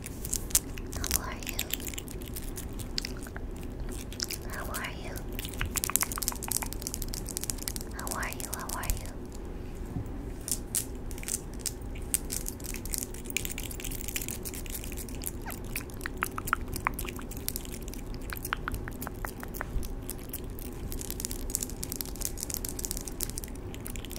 How are you? How are you? How are you? How are you?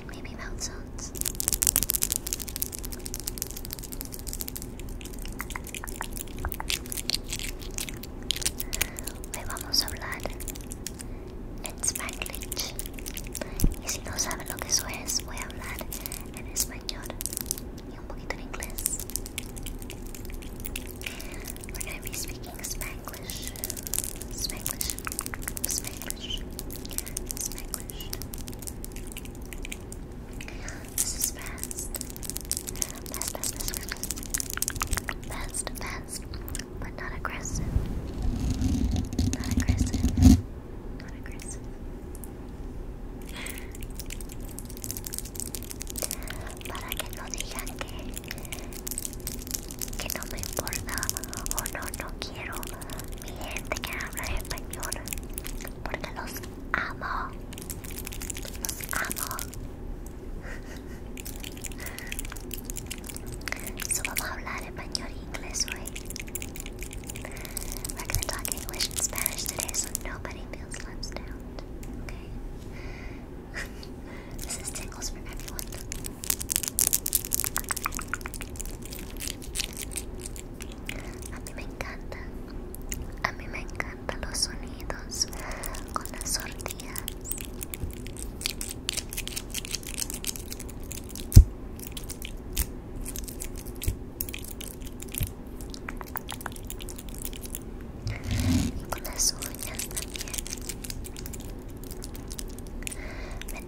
and maybe mouth Hoy vamos a hablar en Spanglish. Y si no saben lo que eso es, voy a hablar en español y un poquito en inglés. We're going to be speaking Spanish. Spanglish. Spanglish. That's my question. This is fast. Fast, fast, fast, fast. Fast, fast. But not aggressive. Not aggressive. Not aggressive. Para que no digan que que no me importa o no, no quiero mi gente que habla español porque los amo, los amo. so vamos a hablar español e inglés hoy. We're gonna talk English and Spanish today so nobody feels left out, okay? this is tingles for everyone. A mí me encanta, a mí me encantan los sonidos con la tortillas. Y con las uñas también.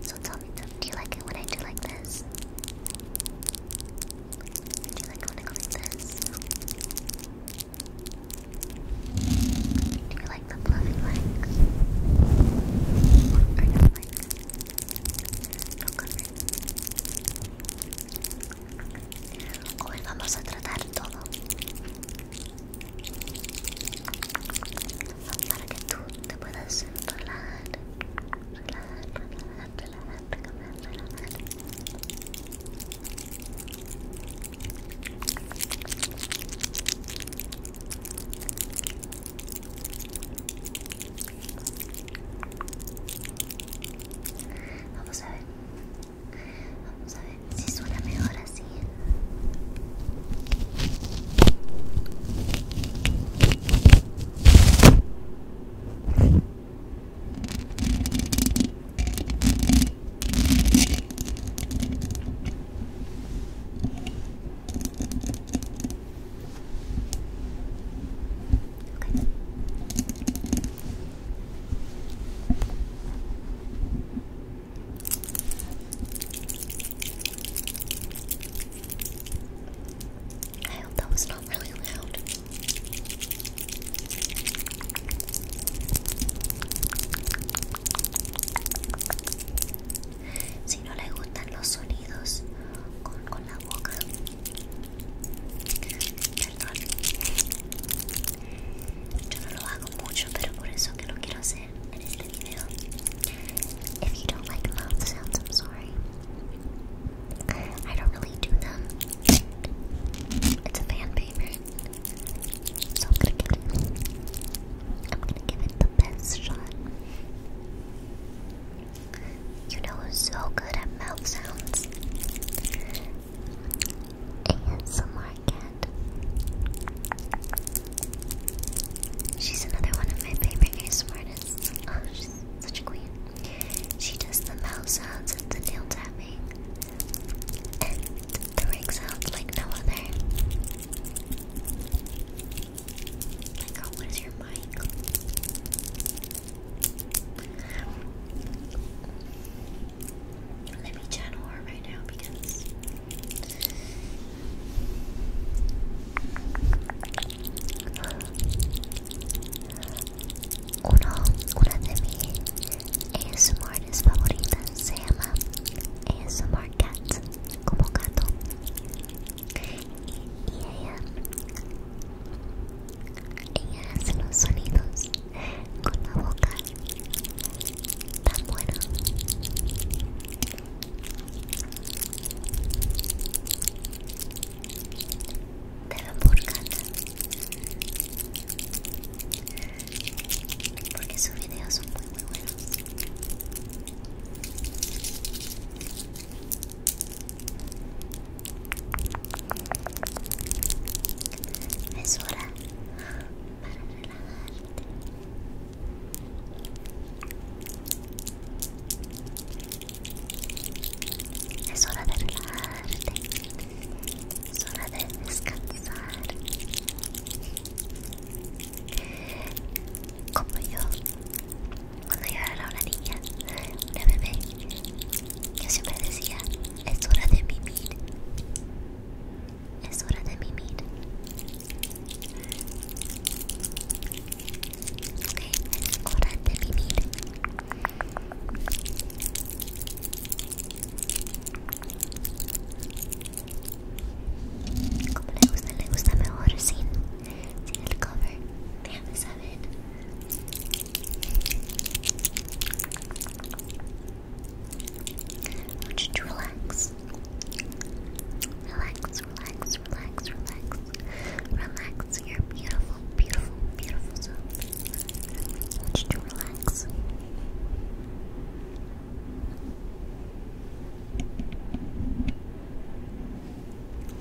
So tell me, do you like it when I do like this? Do you like when I go like this? Do you like the fluffy legs? Or no legs? No cover. Hoy vamos a para que tú te puedas relajar, relajar, relajar, relajar, relajar, relajar. Vamos a ver Vamos a ver si suena mejor así. I hope that was not really loud. Si no le gustan los sonidos con, con la boca, perdón, yo no lo hago. If you don't like mouth sounds, I'm sorry. I don't really do them. It's a fan favorite. So I'm gonna give it I'm gonna give it the best shot. You know who's so good at mouth sounds? ASMR Cat. She's another one of my favorite ASMR artists. Oh, she's such a queen. She does the mouse sounds and the nail tapping. And the rings out like no other. My girl, what is your mic? Let me channel her right now because Uno, una de mis ASMRs favoritas se llama ASMR Cat, como gato. Y, y ella, ella hace los con la boca tan buena. Te por Porque sus videos son muy muy buenos. Es hora para relajarte. Es hora de relajarte. Es hora de descansar. Como yo, cuando yo era una niña, una bebé, yo siempre decía, es hora de mimir. Es hora de mimir. Ok, es hora de mimir. Como le gusta, le gusta mejor sin, sin el cover. Déjame saber. I to relax. Relax, relax, relax, relax. Relax your beautiful, beautiful, beautiful self. to relax.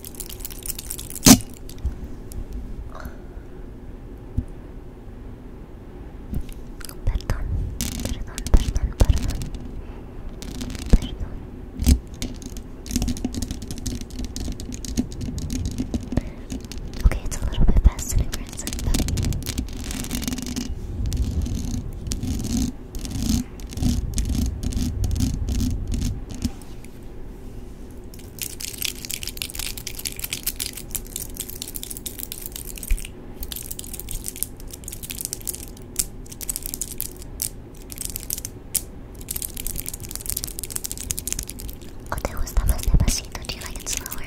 Perdón, perdón, perdón, perdón. Perdón. Okay, it's a little bit fast and aggressive, but Oh, that was the Do you like it slower?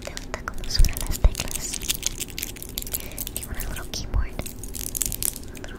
¿Te gusta cómo suenan las teclas? Tengo un little keyboard. Otro.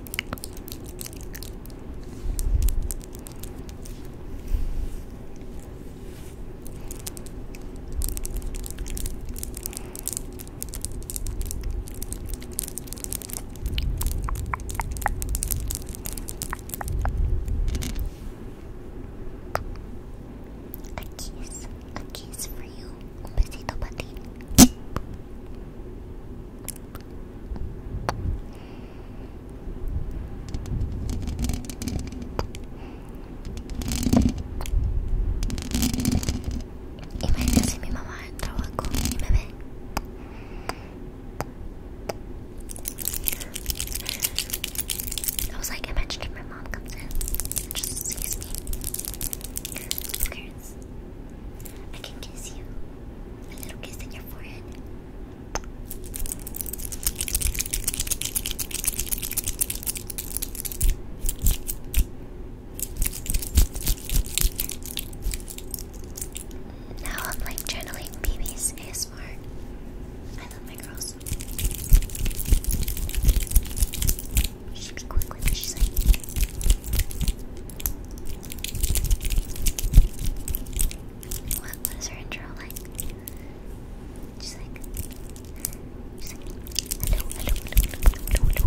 A kiss, a kiss for you. Un besito para Imagínense mi mamá trabaja con mi bebé. I was like, imagine if my mom comes in just sees me. Who I can kiss you. A little kiss in your forehead. Now I'm like journaling BB's ASMR. I love my girls. We should what was her intro like? She's like, she's like, hello, hello, hello, hello,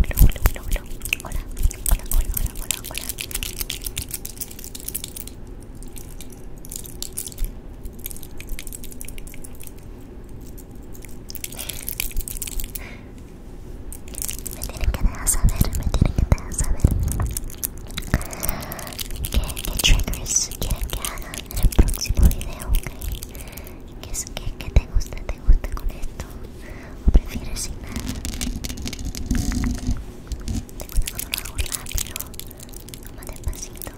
hello, hello, hello, hello, hello, hola, hola, hola, Me tienen que dejar saber, me tienen que dejar saber qué, qué triggers quieren que haga en el próximo video, okay? ¿Qué, es, qué, ¿Qué te gusta? ¿Te gusta con esto? ¿O prefieres sin nada? ¿Te gusta cuando lo hago rápido? ¿O más despacito?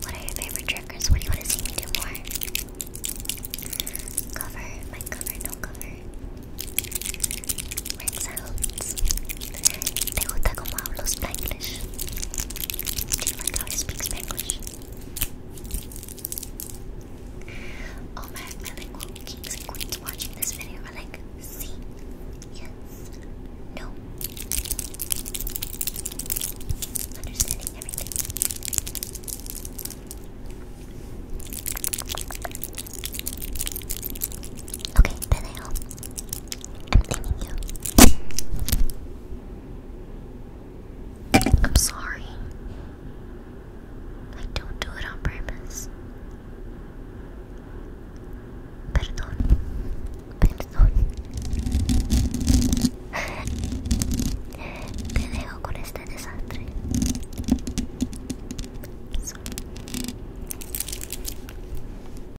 What are your favorite triggers? What do you want to see me do more? Cover, my cover, no cover. Rinse out. ¿Te gusta cómo hablo Spanglish? Do you like how he speaks Spanglish? my bilingual kings and queens watching this video are like, see, yes, no, understanding everything. Okay, then I I'm thinking you. I'm sorry. I don't do it on purpose. Perdón. Perdón. Te dejo con este desastre. Sorry.